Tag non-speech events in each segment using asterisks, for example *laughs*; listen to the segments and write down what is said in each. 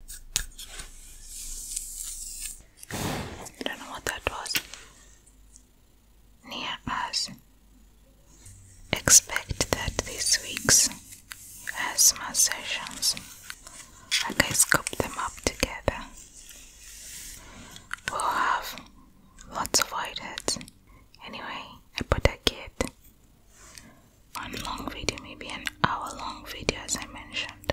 I don't know what that was. Near us. Expect that this week's asthma sessions, I guess, scoop them up together. We'll have lots of ideas. Anyway, I put a kid one long video, maybe an hour long video, as I mentioned.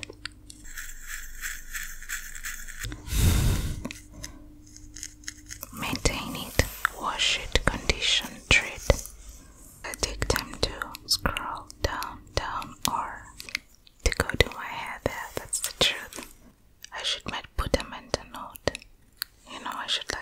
Maintain it, wash it, condition, treat. I take time to scroll down, down, or to go to my hair there. That's the truth. I should might put a note. You know, I should like.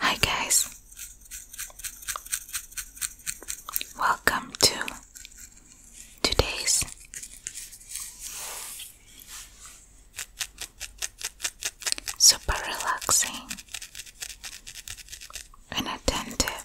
Hi, guys. Welcome to today's super relaxing and attentive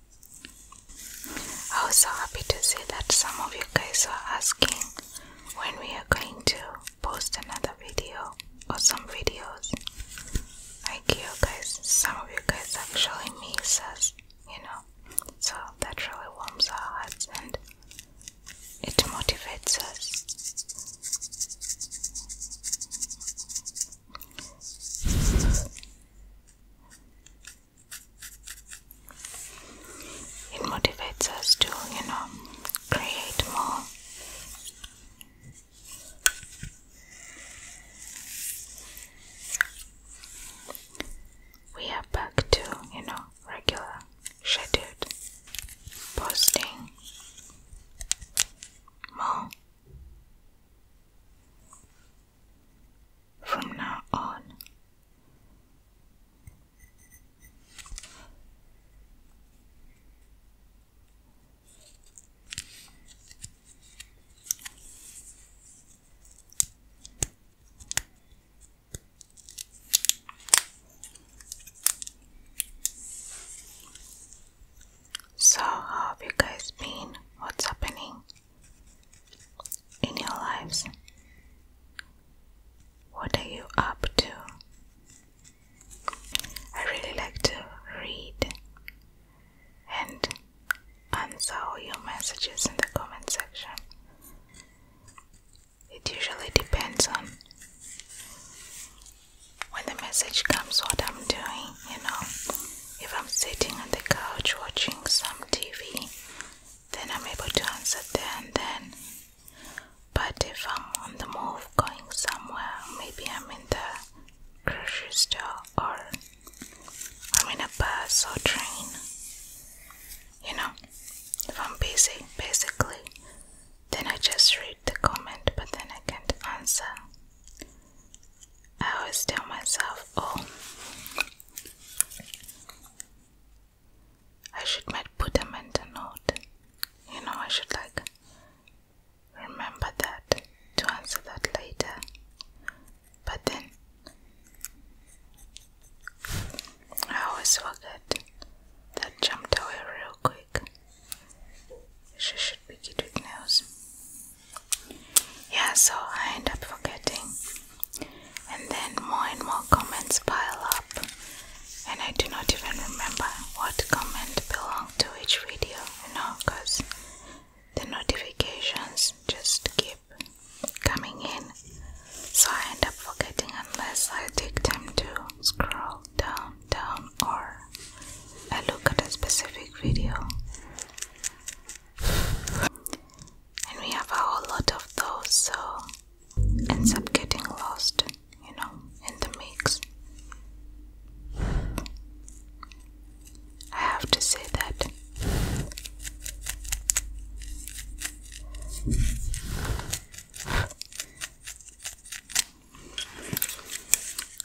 I was so happy to see that some of you guys are asking when we are going to post another video or some videos. Thank you guys, some of you guys actually miss us, you know. So that really warms our hearts and it motivates us. It motivates us to, you know, create more. We are back to, you know, regular scheduled posting. More from now on. So, how have you guys been? What's happening? in your lives? What are you up to? I really like to read and answer all your messages in the comment section. It usually depends on when the message comes, what I'm doing, you know. If I'm sitting on the couch watching some TV, then I'm able to answer there and then. But if I'm on the move going somewhere, maybe I'm in the grocery store or I'm in a bus or train, you know, if I'm busy basically, then I just read the comment but then I can't answer. I always tell myself, oh, I should might put a mental note. You know, I should like remember that to answer that later. But then I always forget that jumped away real quick. She should be good with nails. Yeah, so I end up forgetting and then more and more comments pile up, and I do not even remember what comment belonged to each video, you know, because the notifications just keep coming in, so I end up forgetting unless I take time to scroll down, down, or I look at a specific video and we have a whole lot of those, so ends up getting lost, you know, in the mix. I have to say that.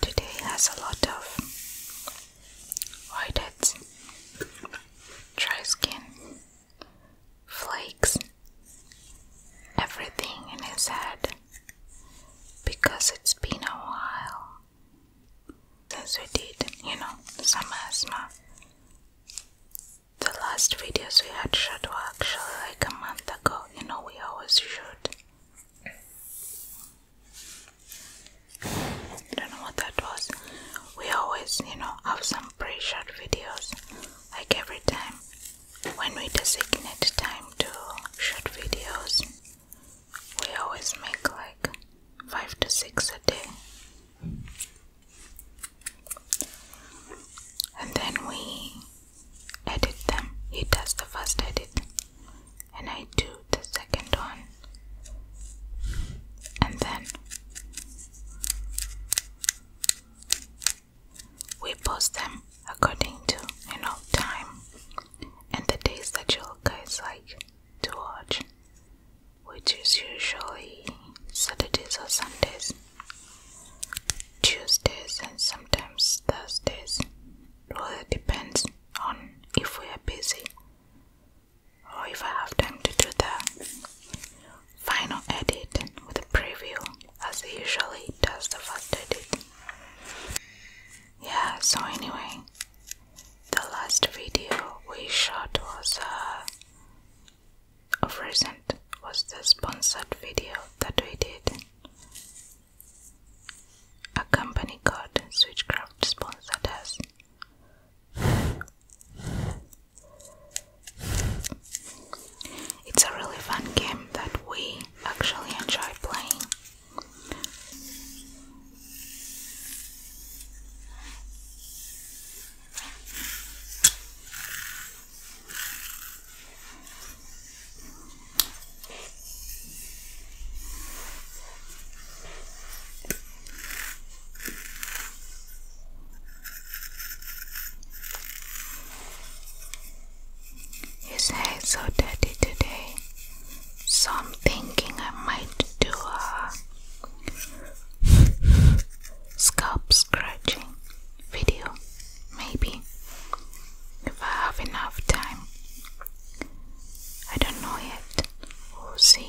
Today has a lot of whiteheads, dry skin, flakes, everything in his head because it's been a while since we did, you know, some asthma. The last videos we had shot were actually like a month ago, you know, we always shoot. I don't know what that was. We always, you know, have some some pretty short videos like every time when we designate time to shoot videos we always make like 5 to 6 a day and then we edit them he does the first edit and I do the second one and then we post them according to you know time and the days that you guys like to watch which is usually Saturdays or Sundays Tuesdays and sometimes Thursdays All depends on if we are busy or oh, if I have time to do the final edit with the preview as usually does the first edit. Yeah, so anyway, the last video we shot was uh, of recent was the sponsored video that we did. A company called Switchcraft sponsored us. It's a really fun game that we actually enjoy playing. His hair so dirty today, so I'm thinking I might do a scalp scratching video, maybe if I have enough time. I don't know yet. We'll see.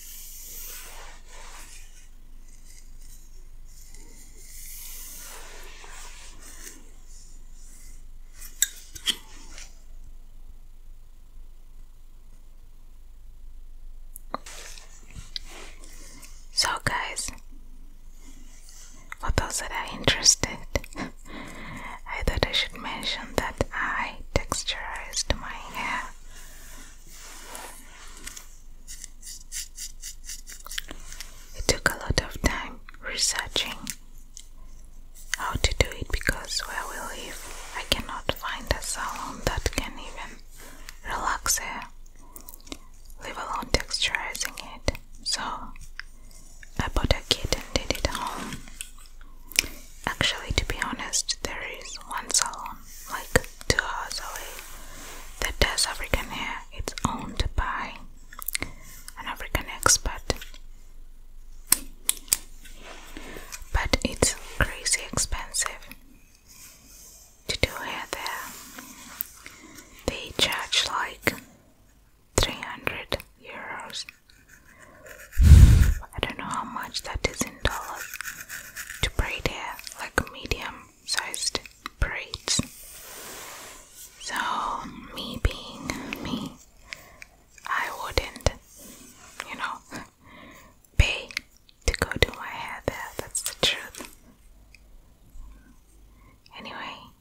So, guys, for those that are interested, *laughs* I thought I should mention that I texturized my hair. It took a lot of time researching how to do it because where we live, I cannot find a salon that can even relax it, leave alone texturizing it. So I bought a kit and did it home Actually, to be honest, there is one salon like two hours away that does African hair. It's owned by an African expert, but it's crazy expensive to do hair there. They charge like 300 euros I don't know how much that is in dollars to braid hair like a medium sized braids. So, me being me, I wouldn't, you know, pay to go do my hair there. That's the truth. Anyway,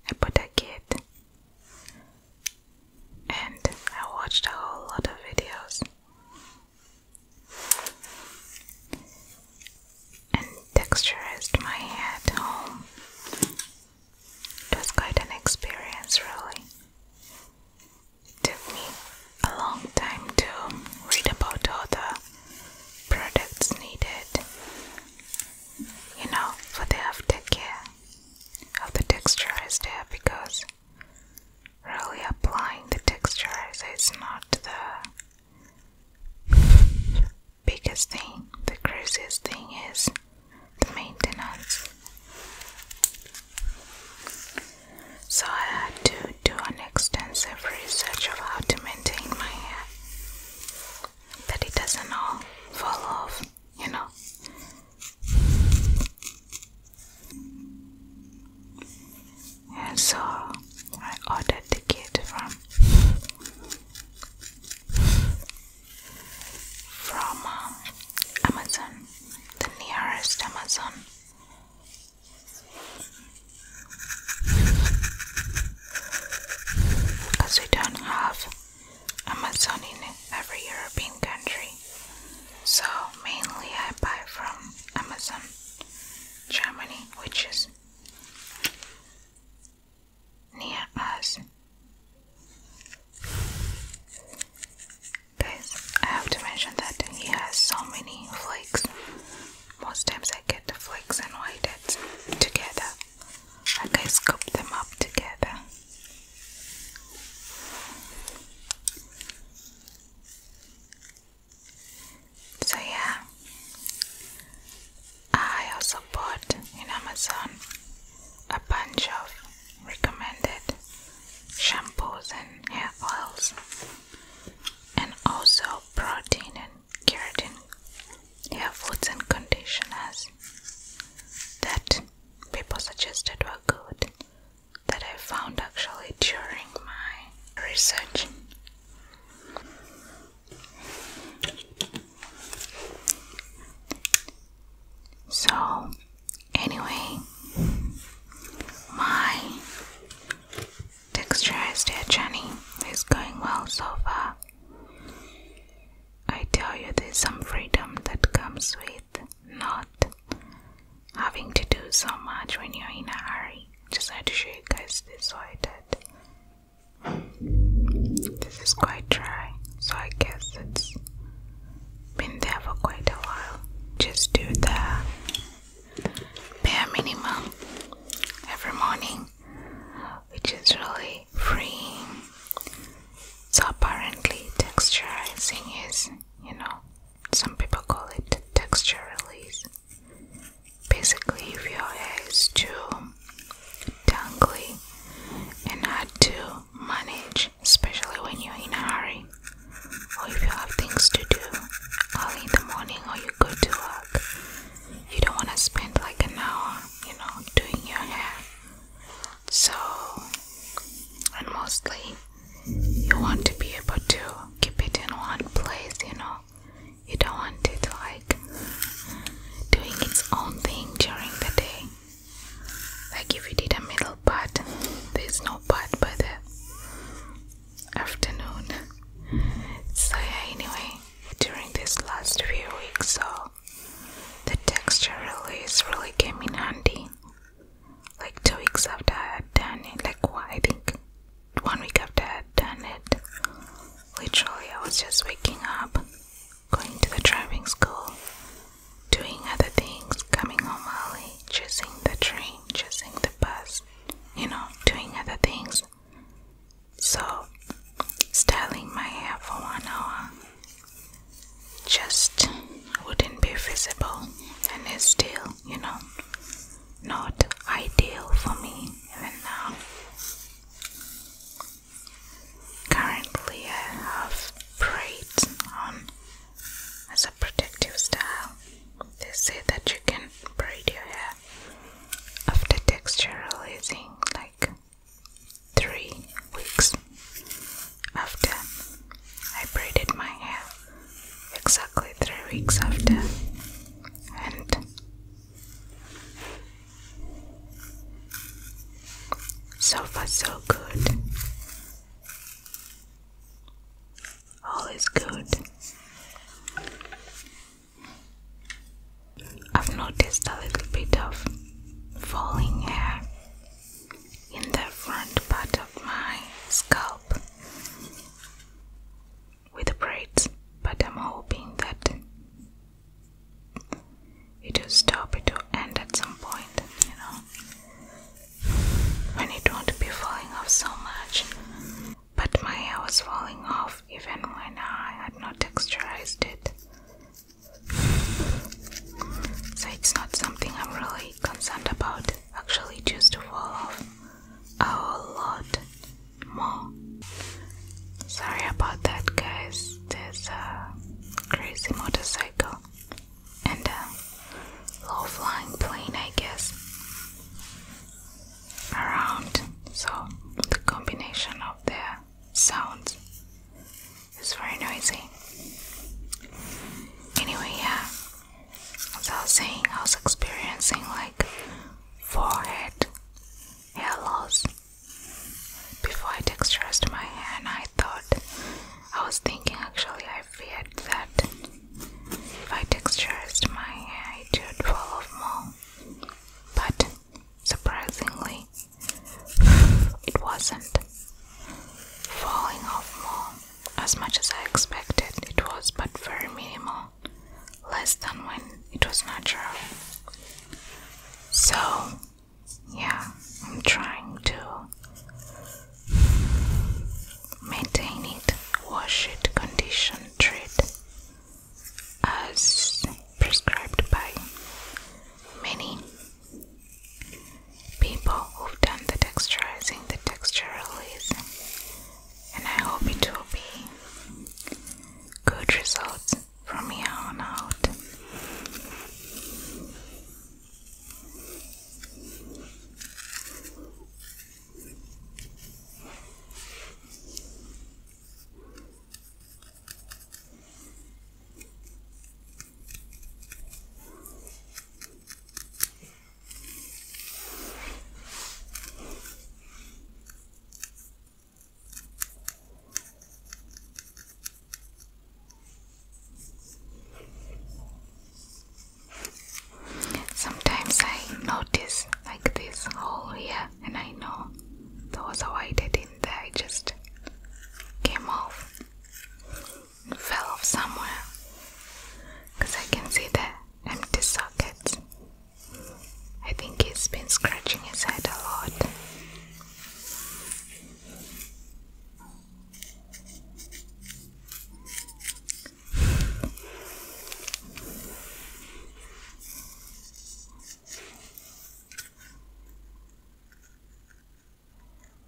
I put a kid and I watched a whole lot of videos and texturized my head home. It was quite an experience, really. took me a long time to read about all the products needed, you know, for the aftercare of the texturized hair because really applying the texture is not the biggest thing. The craziest thing is the maintenance. So I had to do an extensive research of how to maintain my hair that it doesn't all fall off, you know. And so I ordered the kit from from um, Amazon, the nearest Amazon. Because we don't have Amazon in every European country. So mainly I buy from Amazon Germany, which is near us. Guys, I have to mention that he has so many flakes. Most times I get the flakes and white heads together. Like I scoop them up together. So yeah, I also bought in Amazon a bunch of recommended shampoos and hair oils and also protein and keratin hair foods and conditioners that people suggested were good that I found actually during my research. So, anyway, my texturized hair journey is going well so far. I tell you, there's some freedom that comes with not having to do so much when you're in a hurry. Just had to show you guys this so I did. This is quite dry, so I guess it's been there for quite a while. Just do the bare minimum every morning, which is really freeing. So apparently texturizing is, you know, some people call it texture release. Basically, if your hair is too tangly and hard to manage, especially when you're in a hurry, or if you have things to do early in the morning or you go to work, you don't want to spend like an hour, you know, doing your hair. So, and mostly you want to be able to keep it in one place, you know. You don't want it like doing its own thing during the day. Like if you did a middle part, there's no part by the afternoon. So yeah, anyway, during this last few weeks, so the texture really is really came in handy like two weeks after I had done it, like what I think one week after I had done it, literally I was just waking up, going to the driving school, doing other things, coming home early, chasing the train, chasing the bus, you know, doing other things. So, styling my hair for one hour just wouldn't be feasible and it still you know, not ideal for me even now. Currently, I have braids on as a protective style. They say that you can braid your hair after texture like three weeks after I braided my hair exactly three weeks after and so far so good all is good I've noticed a little bit of falling hair in the front part of my scalp with braids, but I'm hoping that it will stop, it will end at some point, you know, when it won't be falling off so much. But my hair was falling off even when I had not texturized it. So it's not something I'm really concerned about actually just to fall off a lot more. Sorry about that, guys. There's a crazy motorcycle and a low flying plane, I guess, around. So, the combination of the sounds is very noisy. Anyway, yeah, as I was saying, I was experiencing like forehead hair loss. Before I texturized my hair, and I thought, I was thinking actually, I feared that if I texturized my hair, it would fall off more. But surprisingly, *sighs* it wasn't falling off more as much as I expected it was, but very minimal, less than when it was natural. So, yeah, I'm trying to maintain it, wash it, condition, treat as prescribed by many people who've done the texturizing, the texture release, and I hope it will be good results from here on out. Sometimes I notice like this hole here, and I know that was a white head in there, I just came off fell off somewhere because I can see the empty socket. I think he's been scratching his head a lot.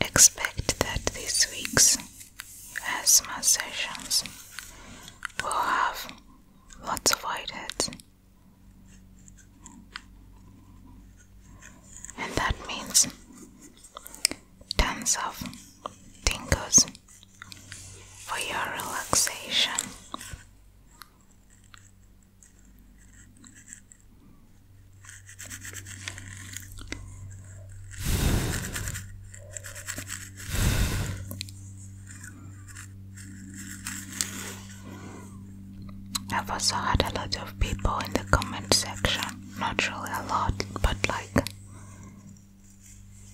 Expect that this week's asthma sessions will have Lots of whiteheads. And that means tons of tingles for your relaxation. I've also had a lot of people in the comment section, not really a lot, but like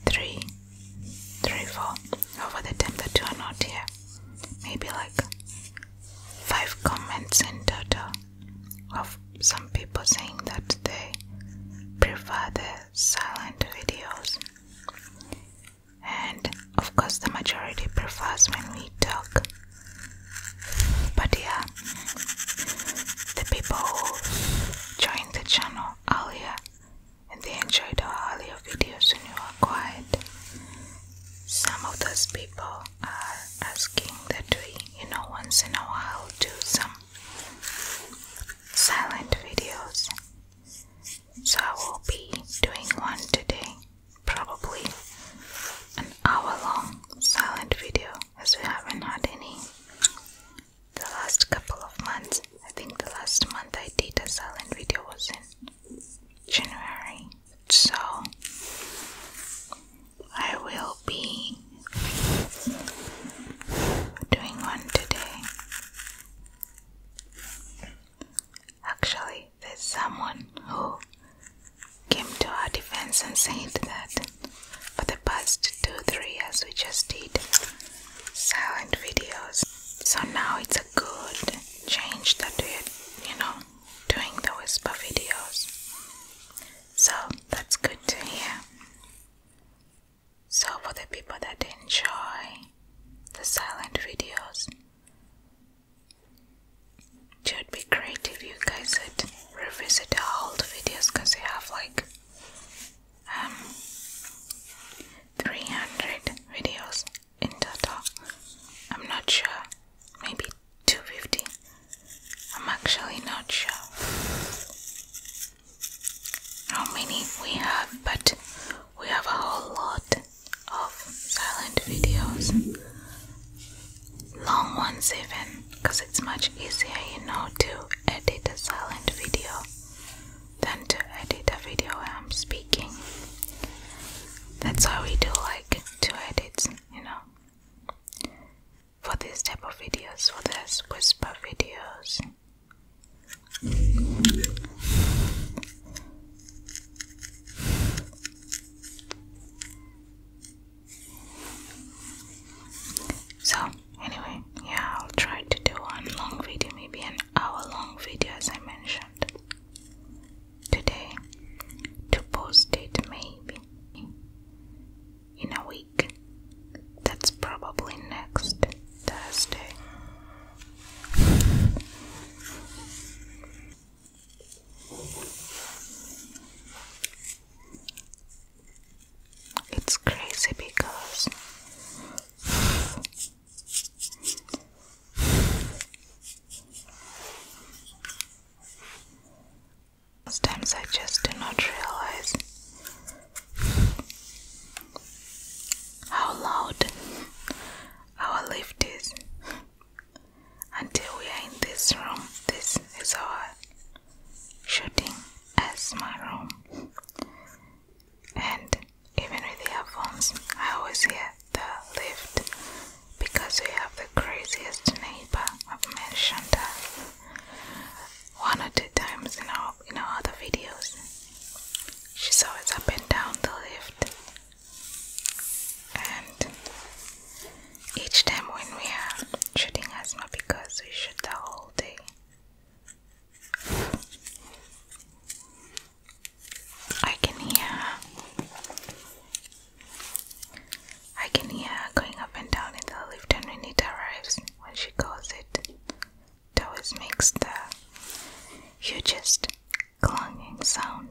three, three, four over the time that you are not here. Maybe like five comments in total of some people saying that they prefer the silent videos and of course, the majority prefers when we talk. But yeah, the people who joined the channel earlier and they enjoyed our earlier videos when you are quiet. Some of those people are asking that we, you know, once in a while do some silent videos so I will be doing one today, probably an hour long silent video as we haven't had any the last couple of months. I think the last month I did a silent video was in January. So I will be doing one today. Actually, there's someone who came to our defense and said that for the past two, three years we just did silent videos. So now it's a good change that we're, you know, doing the whisper videos. So that's good to hear. So, for the people that enjoy the silent videos, it would be great if you guys would revisit our old videos because we have like um, 300 videos in total. I'm not sure, maybe 250. I'm actually not sure. How many we have, but we have a whole lot of silent videos, long ones even, because it's much easier, you know, to edit a silent video than to edit a video where I'm speaking. That's why we do like two edits, you know, for this type of videos, for this whisper videos. So, anyway, yeah, I'll try to do a long video, maybe an hour long video as I mentioned today to post it maybe in a week that's probably next Thursday. It's crazy because sometimes I just do not realize how loud our lift is. Until we are in this room, this is our shooting as my room. And even with the headphones, I always hear the lift because we have the craziest neighbor I've mentioned that one or two times in our out in other videos. She saw up and down the lift, and each time when we are shooting asthma, because we shoot the whole day. I can hear her. I can hear going up and down in the lift, and when it arrives, when she calls it, that always makes the hugest clanging sound.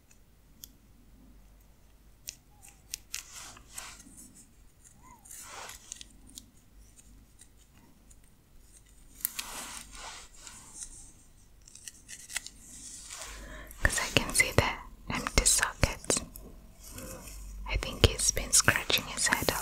Because I can see the empty sockets. I think he's been scratching his head a lot.